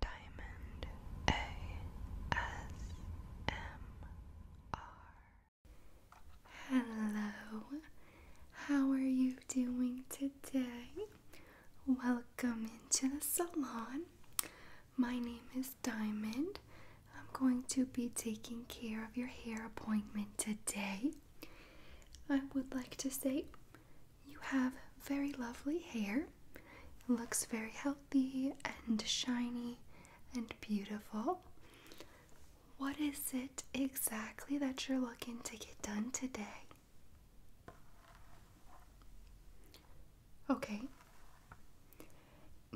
Diamond ASMR. Hello, how are you doing today? Welcome into the salon. My name is Diamond. I'm going to be taking care of your hair appointment today. I would like to say you have very lovely hair. It looks very healthy and shiny and beautiful. What is it exactly that you're looking to get done today? Okay.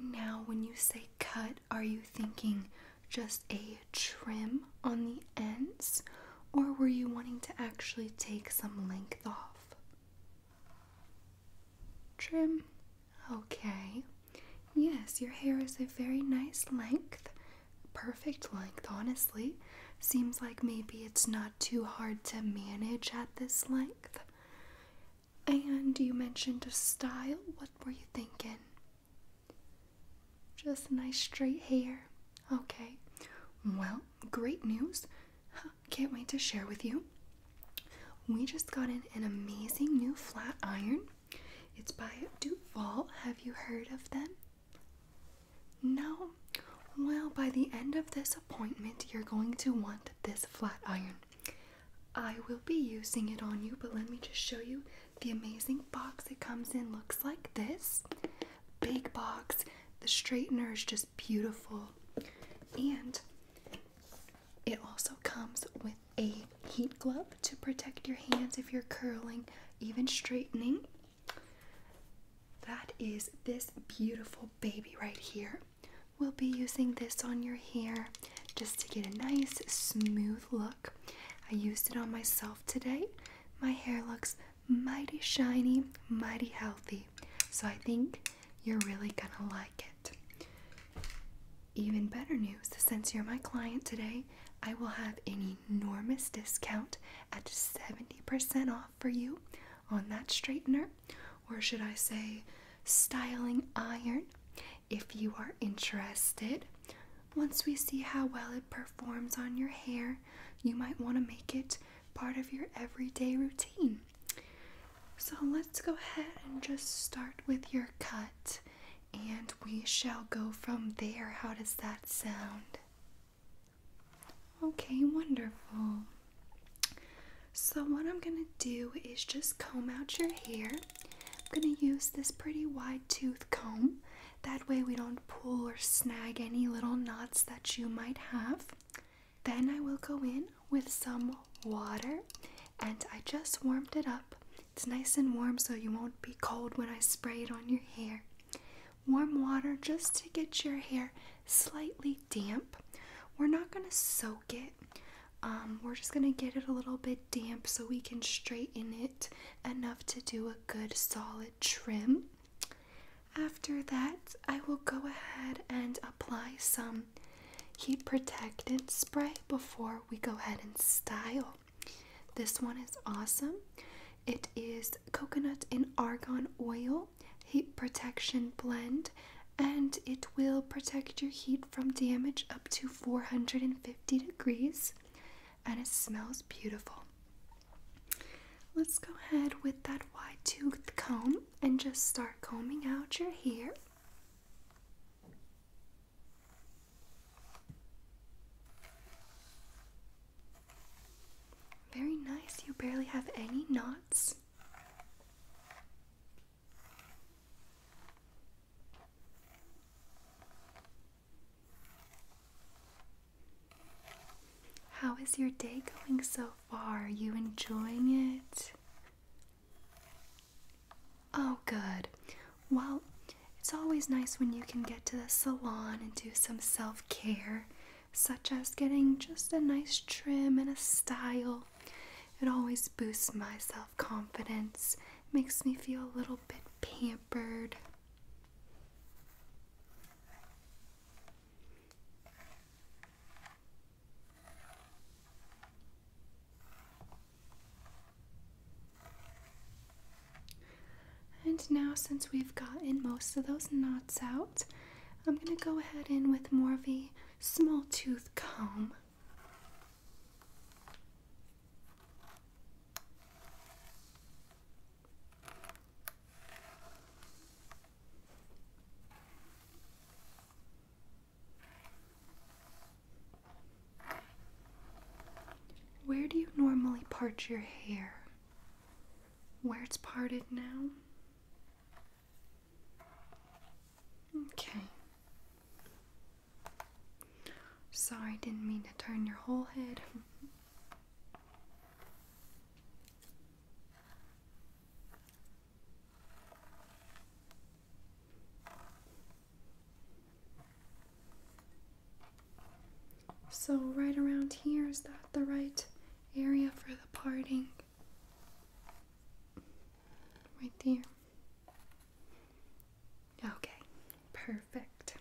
Now, when you say cut, are you thinking just a trim on the ends, or were you wanting to actually take some length off? Trim. Okay. Yes, your hair is a very nice length. Perfect length, honestly. Seems like maybe it's not too hard to manage at this length. And you mentioned a style. What were you thinking? Just nice straight hair. Okay. Well, great news. Can't wait to share with you. We just got in an amazing new flat iron. It's by Duval. Have you heard of them? No? Well, by the end of this appointment, you're going to want this flat iron. I will be using it on you, but let me just show you the amazing box it comes in. Looks like this big box. The straightener is just beautiful. And it also comes with a heat glove to protect your hands if you're curling, even straightening. That is this beautiful baby right here. We'll be using this on your hair just to get a nice smooth look. I used it on myself today. My hair looks mighty shiny, mighty healthy. So I think you're really gonna like it. Even better news since you're my client today, I will have an enormous discount at 70% off for you on that straightener, or should I say, styling iron, if you are interested. Once we see how well it performs on your hair, you might want to make it part of your everyday routine. So let's go ahead and just start with your cut and we shall go from there. How does that sound? Okay, wonderful. So, what I'm gonna do is just comb out your hair. I'm gonna use this pretty wide tooth comb. That way, we don't pull or snag any little knots that you might have. Then I will go in with some water and I just warmed it up. It's nice and warm so you won't be cold when I spray it on your hair. Warm water just to get your hair slightly damp. We're not going to soak it. Um, we're just going to get it a little bit damp so we can straighten it enough to do a good solid trim. After that, I will go ahead and apply some heat protectant spray before we go ahead and style. This one is awesome. It is coconut and argan oil heat protection blend and it will protect your heat from damage up to 450 degrees and it smells beautiful. Let's go ahead with that wide tooth comb and just start combing out your hair. Very nice, you barely have any knots. How is your day going so far? you enjoying it? Oh, good. Well, it's always nice when you can get to the salon and do some self care, such as getting just a nice trim and a style. It always boosts my self confidence, makes me feel a little bit pampered. And now, since we've gotten most of those knots out, I'm going to go ahead in with more of a small tooth comb. Where do you normally part your hair? Where it's parted now? Okay. Sorry, didn't mean to turn your whole head. So, right around here, is that the right area for the parting? Right there. Okay, perfect.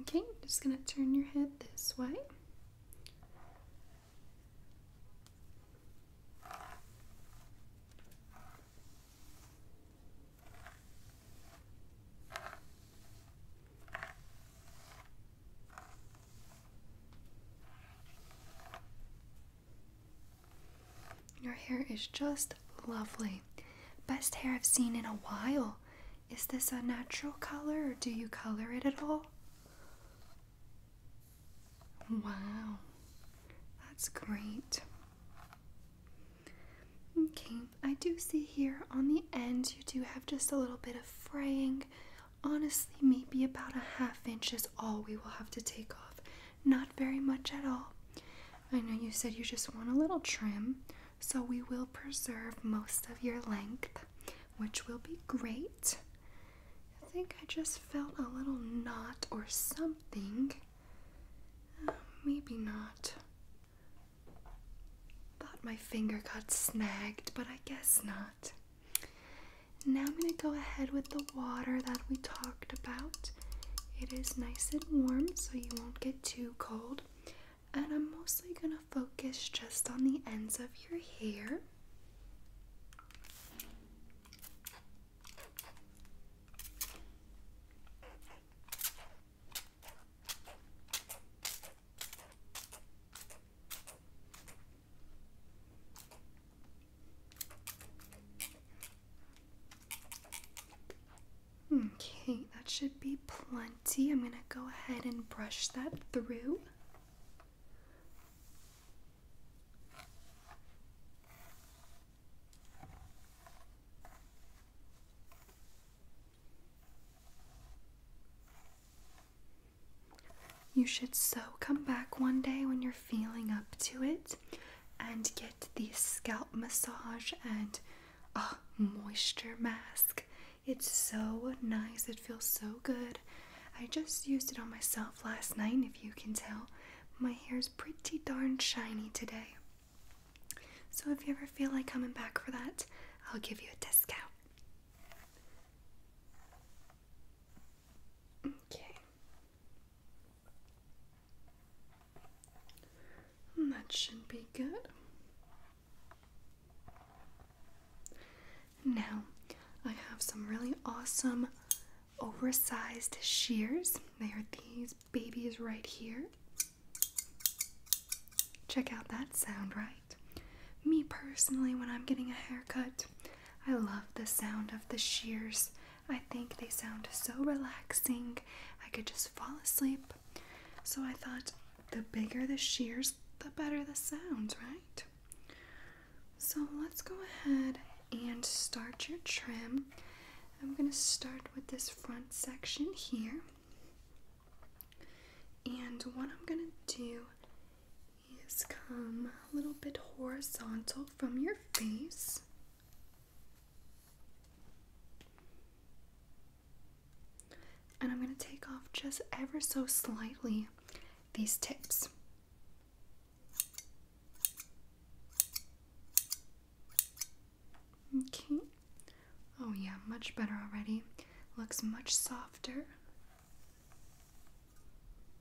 Okay, just going to turn your head this way. Your hair is just lovely. Best hair I've seen in a while. Is this a natural color or do you color it at all? Wow, that's great. Okay, I do see here on the end you do have just a little bit of fraying. Honestly, maybe about a half inch is all we will have to take off. Not very much at all. I know you said you just want a little trim, so we will preserve most of your length, which will be great. I think I just felt a little knot or something. Uh, maybe not. Thought my finger got snagged, but I guess not. Now I'm going to go ahead with the water that we talked about. It is nice and warm so you won't get too cold. And I'm mostly going to focus just on the ends of your hair. Okay, that should be plenty. I'm going to go ahead and brush that through. You should so come back one day when you're feeling up to it and get the scalp massage and a ah, moisture mask. It's so nice, it feels so good. I just used it on myself last night, if you can tell. My hair's pretty darn shiny today. So if you ever feel like coming back for that, I'll give you a discount. Okay. Hmm, that should be good. Now, I have some really awesome oversized shears. They are these babies right here. Check out that sound, right? Me personally, when I'm getting a haircut, I love the sound of the shears I think they sound so relaxing. I could just fall asleep. So I thought the bigger the shears, the better the sounds, right? So let's go ahead and start your trim. I'm going to start with this front section here. And what I'm going to do is come a little bit horizontal from your face. And I'm going to take off just ever so slightly these tips. Okay. Oh, yeah, much better already. Looks much softer.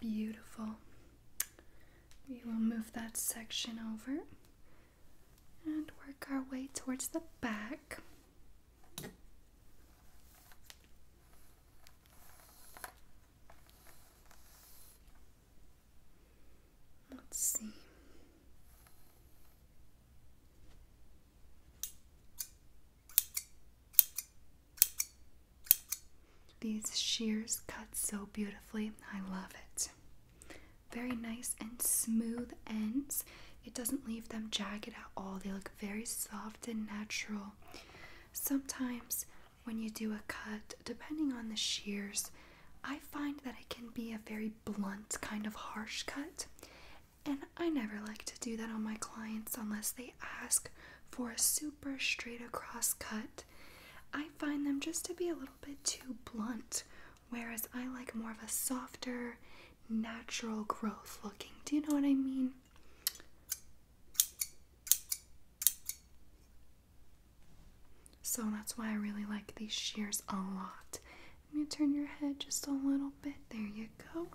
Beautiful. We will move that section over and work our way towards the back. Let's see. These shears cut so beautifully. I love it. Very nice and smooth ends. It doesn't leave them jagged at all. They look very soft and natural. Sometimes when you do a cut, depending on the shears, I find that it can be a very blunt kind of harsh cut. And I never like to do that on my clients unless they ask for a super straight across cut. I find them just to be a little bit too blunt, whereas I like more of a softer, natural growth looking. Do you know what I mean? So that's why I really like these shears a lot. Let me turn your head just a little bit. There you go.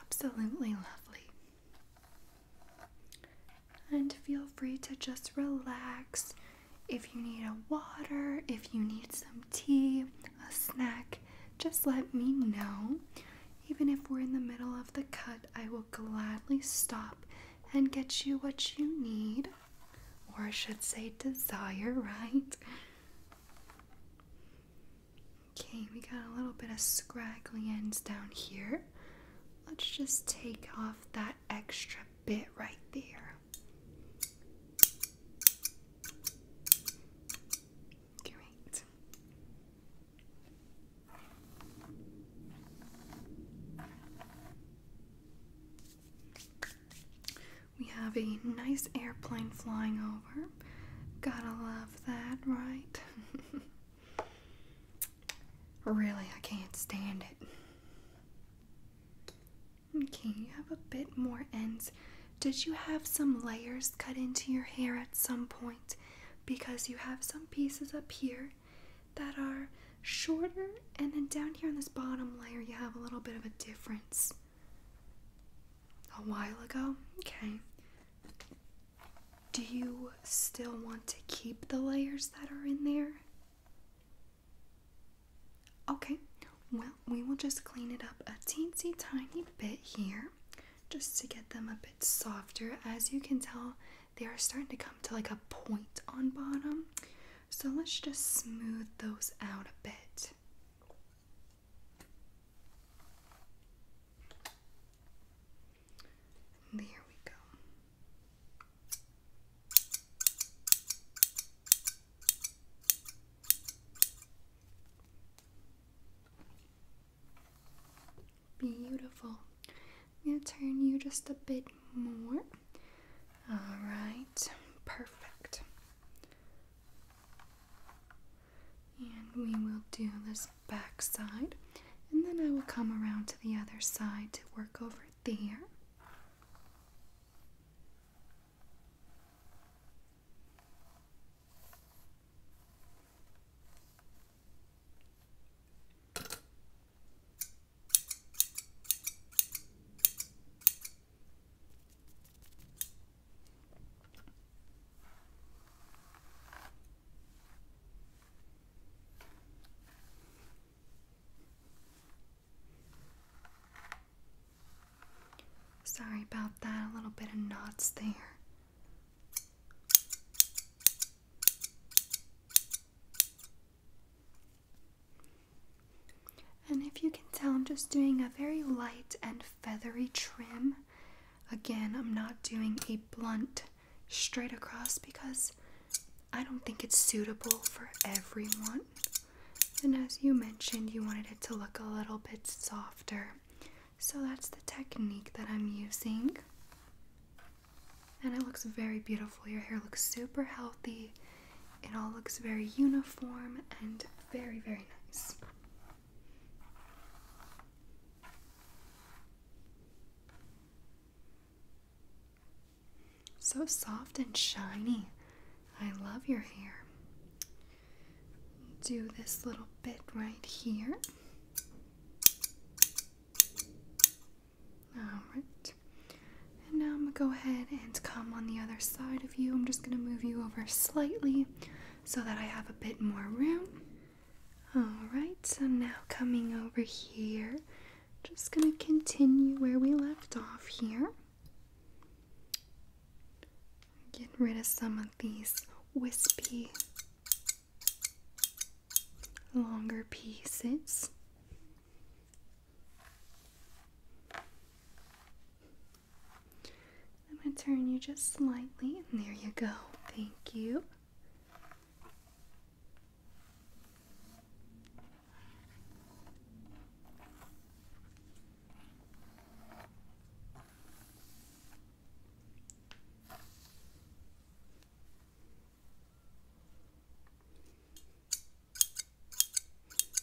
Absolutely lovely. And feel free to just relax. If you need a water, if you need some tea, a snack, just let me know. Even if we're in the middle of the cut, I will gladly stop and get you what you need, or I should say, desire, right? Okay, we got a little bit of scraggly ends down here. Let's just take off that extra bit right there. Great. We have a nice airplane flying over. Gotta love that, right? really, I can't stand it. Okay, you have a bit more ends. Did you have some layers cut into your hair at some point? Because you have some pieces up here that are shorter, and then down here on this bottom layer, you have a little bit of a difference. A while ago? Okay. Do you still want to keep the layers that are in there? Okay, well, we will just clean it up a teensy tiny bit here just to get them a bit softer. As you can tell, they are starting to come to like a point on bottom. So let's just smooth those out a bit there we go. Beautiful. I'm going to turn you just a bit more. All right, perfect. And we will do this back side, and then I will come around to the other side to work over there. Sorry about that, a little bit of knots there. And if you can tell, I'm just doing a very light and feathery trim. Again, I'm not doing a blunt straight across because I don't think it's suitable for everyone. And as you mentioned, you wanted it to look a little bit softer. So that's the technique that I'm using. And it looks very beautiful. Your hair looks super healthy it all looks very uniform and very, very nice. So soft and shiny. I love your hair. Do this little bit right here. Alright. And now I'm going to go ahead and come on the other side of you. I'm just going to move you over slightly so that I have a bit more room. Alright, so now coming over here, just going to continue where we left off here. Get rid of some of these wispy, longer pieces. I'm going to turn you just slightly, and there you go. Thank you.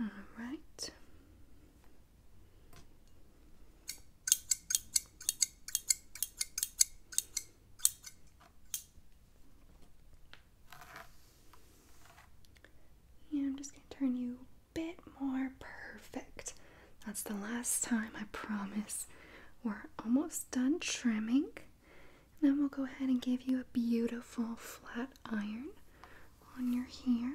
All right. Yeah, I'm just going to turn you bit more perfect. That's the last time, I promise. We're almost done trimming. And then we'll go ahead and give you a beautiful flat iron on your hair.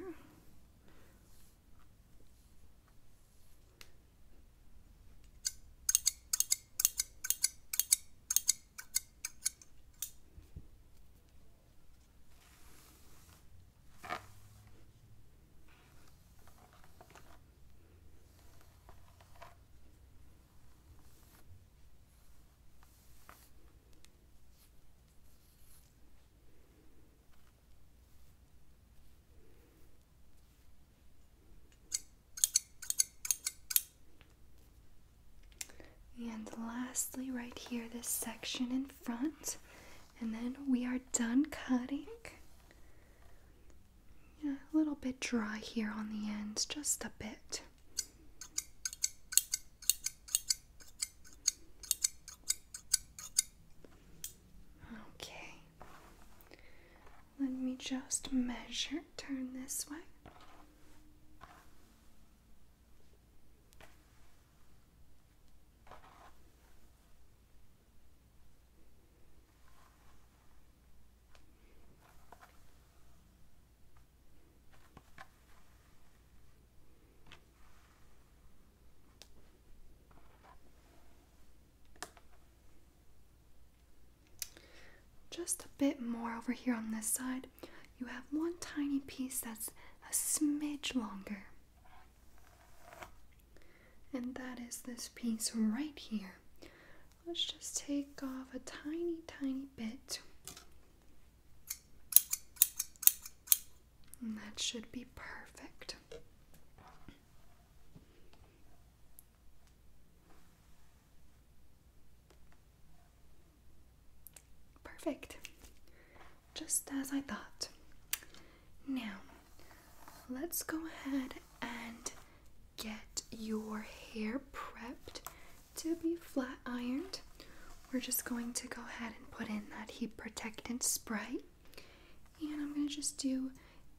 And lastly, right here, this section in front and then we are done cutting. a little bit dry here on the ends, just a bit. Okay. Let me just measure. Turn this way. Just a bit more over here on this side. You have one tiny piece that's a smidge longer. And that is this piece right here. Let's just take off a tiny, tiny bit. And that should be perfect. Perfect just as I thought. Now, let's go ahead and get your hair prepped to be flat ironed. We're just going to go ahead and put in that heat protectant spray. And I'm going to just do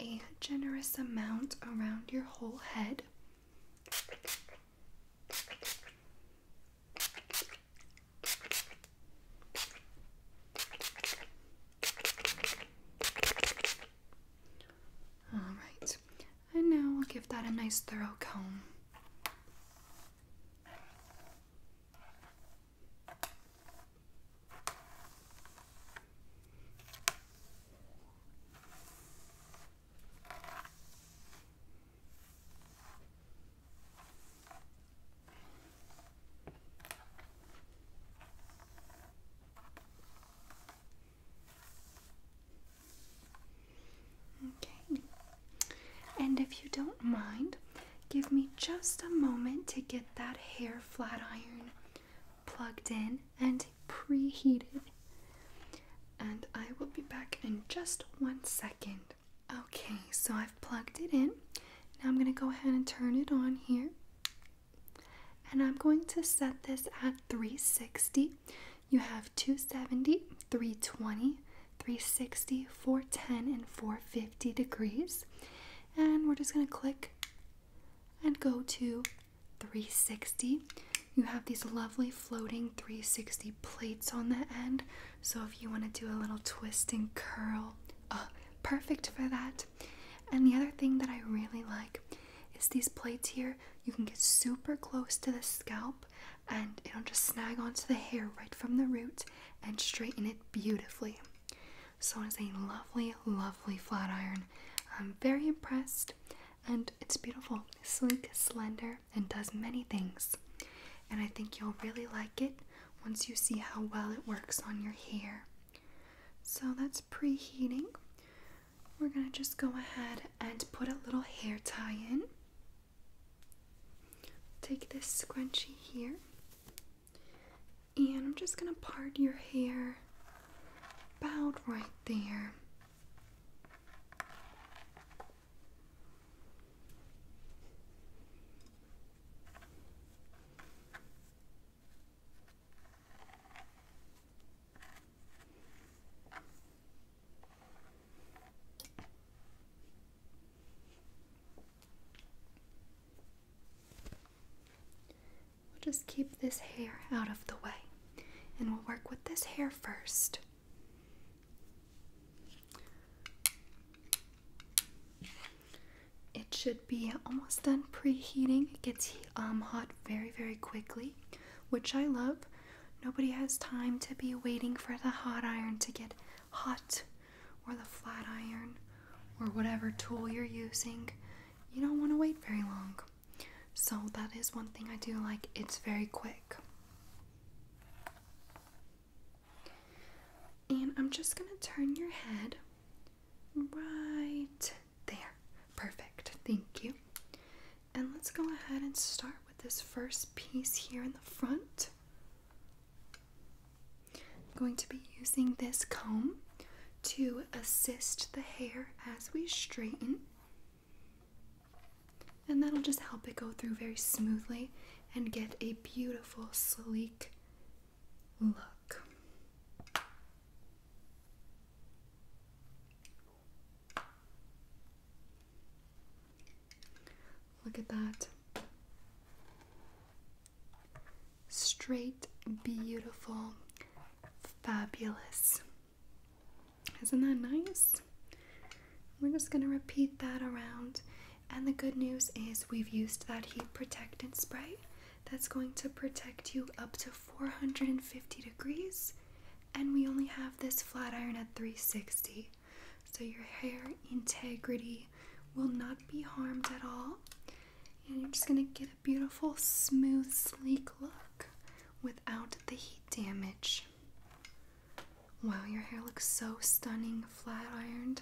a generous amount around your whole head. All right, and now we'll give that a nice thorough comb. Okay. And if you don't mind, give me just a moment to get that hair flat iron plugged in and preheated. And I will be back in just one second. Okay, so I've plugged it in. Now I'm going to go ahead and turn it on here. And I'm going to set this at 360. You have 270, 320, 360, 410, and 450 degrees. And we're just going to click and go to 360. You have these lovely floating 360 plates on the end, so if you want to do a little twist and curl, uh, perfect for that. And the other thing that I really like is these plates here. You can get super close to the scalp and it'll just snag onto the hair right from the root and straighten it beautifully. So it's a lovely, lovely flat iron. I'm very impressed and it's beautiful, sleek, slender, and does many things. And I think you'll really like it once you see how well it works on your hair. So that's preheating. We're going to just go ahead and put a little hair tie in. Take this scrunchie here, and I'm just going to part your hair about right there. We'll just keep this hair out of the way and we'll work with this hair first. It should be almost done preheating. It gets um, hot very, very quickly, which I love. Nobody has time to be waiting for the hot iron to get hot or the flat iron or whatever tool you're using. You don't want to wait very long. So, that is one thing I do like. It's very quick. And I'm just going to turn your head right there. Perfect. Thank you. And let's go ahead and start with this first piece here in the front. I'm going to be using this comb to assist the hair as we straighten. And that'll just help it go through very smoothly and get a beautiful, sleek look. Look at that. Straight, beautiful, fabulous. Isn't that nice? We're just going to repeat that around and the good news is we've used that heat protectant spray that's going to protect you up to 450 degrees. And we only have this flat iron at 360. So your hair integrity will not be harmed at all. And you're just gonna get a beautiful, smooth, sleek look without the heat damage. Wow, your hair looks so stunning, flat ironed.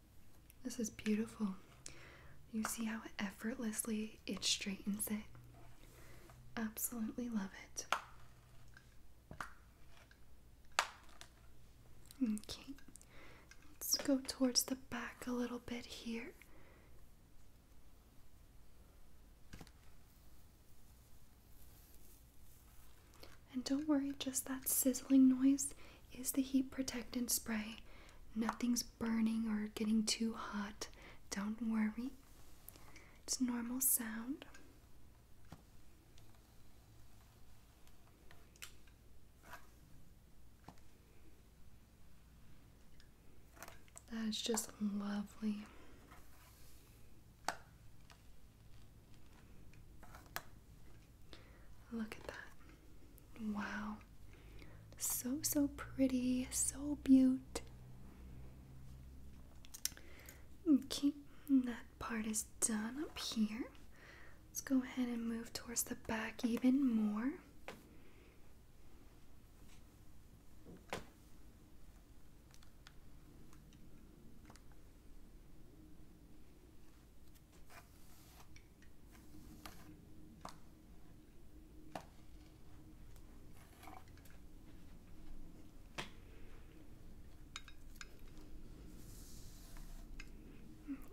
This is beautiful. You see how effortlessly it straightens it? Absolutely love it. Okay, let's go towards the back a little bit here. And don't worry, just that sizzling noise is the heat protectant spray. Nothing's burning or getting too hot. Don't worry. It's normal sound. That is just lovely. Look at that. Wow. So, so pretty. So beaut. Okay, that part is done up here. Let's go ahead and move towards the back even more.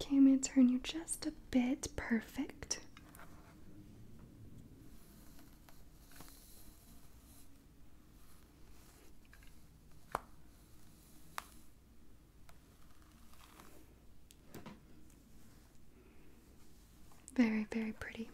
Okay, I'm going to turn you just a bit perfect. Very, very pretty.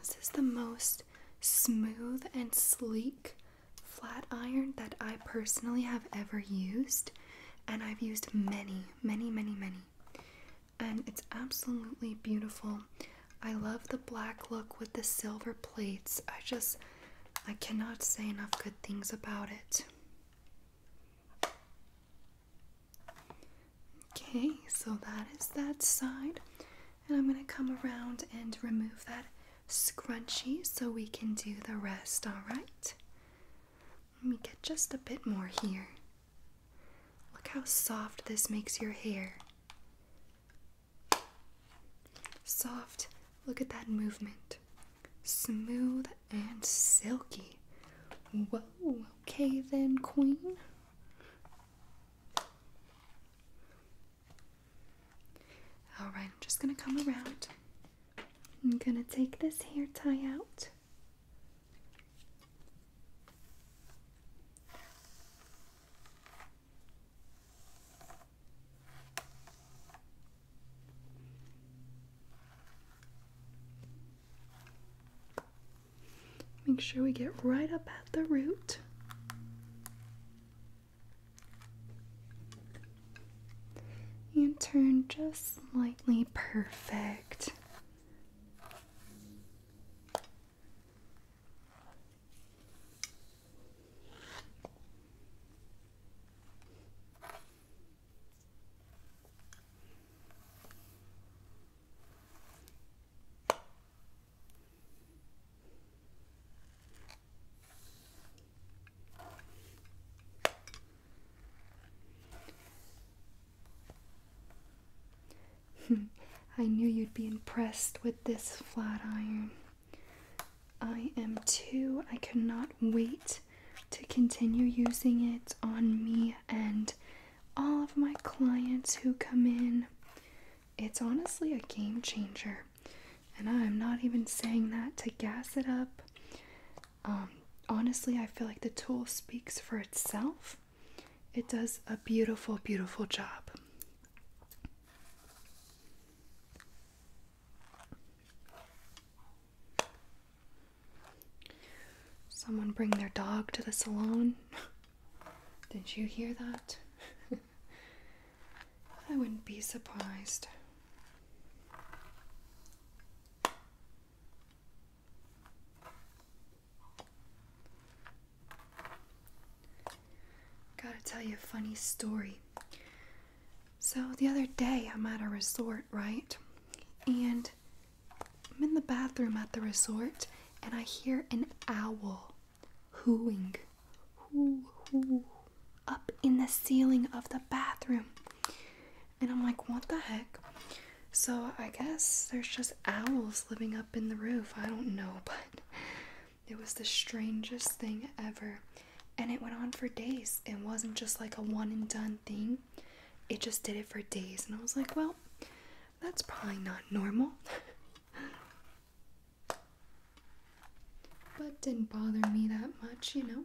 This is the most smooth and sleek flat iron that I personally have ever used, and I've used many, many, many, many. And it's absolutely beautiful. I love the black look with the silver plates. I just, I cannot say enough good things about it. Okay, so that is that side. And I'm going to come around and remove that scrunchy so we can do the rest, alright? Let me get just a bit more here. Look how soft this makes your hair. Soft, look at that movement. Smooth and silky. Whoa, okay then, Queen. Alright, I'm just gonna come around I'm gonna take this hair tie out. Make sure we get right up at the root and turn just slightly perfect. I knew you'd be impressed with this flat iron. I am too. I cannot wait to continue using it on me and all of my clients who come in. It's honestly a game changer. And I'm not even saying that to gas it up. Um, honestly, I feel like the tool speaks for itself. It does a beautiful, beautiful job. Someone bring their dog to the salon. Did you hear that? I wouldn't be surprised. Gotta tell you a funny story. So, the other day I'm at a resort, right? And I'm in the bathroom at the resort and I hear an owl hooing up in the ceiling of the bathroom. And I'm like, what the heck? So I guess there's just owls living up in the roof. I don't know, but it was the strangest thing ever. And it went on for days. It wasn't just like a one and done thing, it just did it for days. And I was like, well, that's probably not normal. but didn't bother me that much, you know.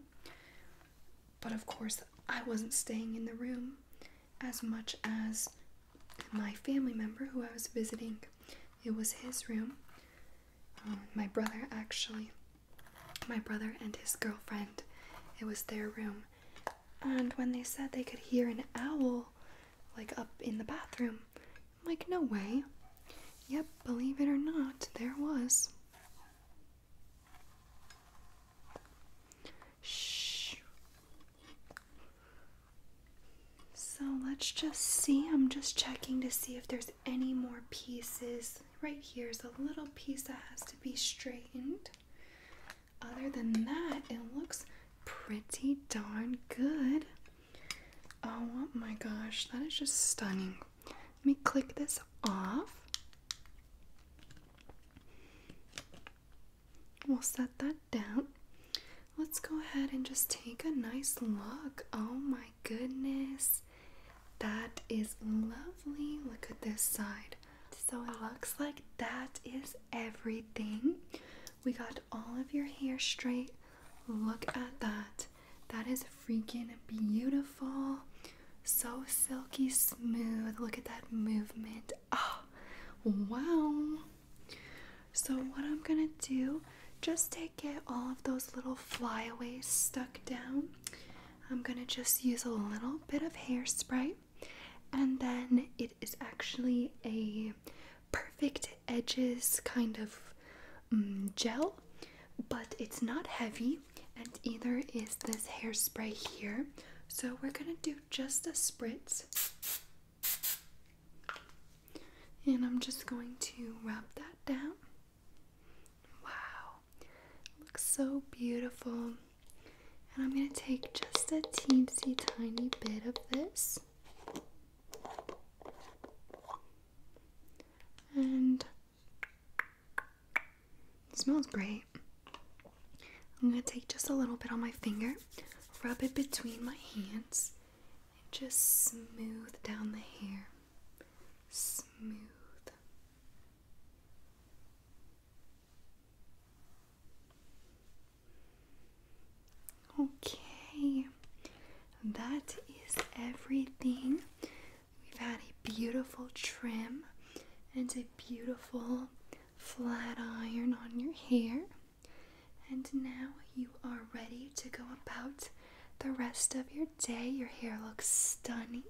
But of course, I wasn't staying in the room as much as my family member who I was visiting. It was his room. Um, my brother, actually. My brother and his girlfriend. It was their room. And when they said they could hear an owl, like up in the bathroom, like, no way. Yep, believe it or not, there was. Shh. So let's just see. I'm just checking to see if there's any more pieces. Right here is a little piece that has to be straightened. Other than that, it looks pretty darn good. Oh my gosh, that is just stunning. Let me click this off. We'll set that down. Let's go ahead and just take a nice look. Oh my goodness. That is lovely. Look at this side. So it oh. looks like that is everything. We got all of your hair straight. Look at that. That is freaking beautiful. So silky smooth. Look at that movement. Oh, wow. So, what I'm gonna do, just to get all of those little flyaways stuck down. I'm gonna just use a little bit of hairspray, and then it is actually a perfect edges kind of mm, gel but it's not heavy, and either is this hairspray here. So we're gonna do just a spritz, and I'm just going to rub that down. Wow, looks so beautiful. And I'm going to take just a teensy tiny bit of this and smells great. I'm gonna take just a little bit on my finger, rub it between my hands, and just smooth down the hair. Smooth. Okay, that is everything We've had a beautiful trim and a beautiful flat iron on your hair. And now you are ready to go about the rest of your day. Your hair looks stunning.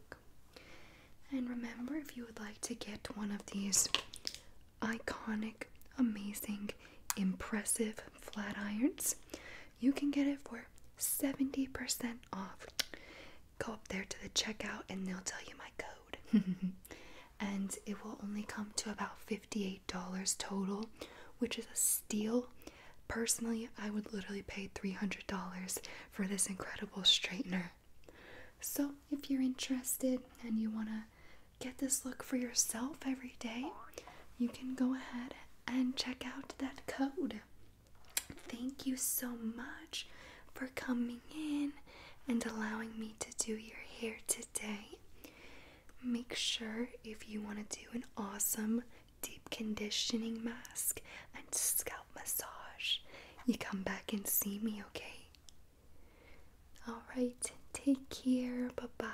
And remember, if you would like to get one of these iconic, amazing, impressive flat irons, you can get it for 70% off. Go up there to the checkout and they'll tell you my code. and it will only come to about $58 total, which is a steal. Personally, I would literally pay $300 for this incredible straightener. So, if you're interested and you want to get this look for yourself every day, you can go ahead and check out that code. Thank you so much for coming in and allowing me to do your hair today. Make sure if you want to do an awesome deep conditioning mask and scalp massage, you come back and see me, okay? All right, take care. Bye bye.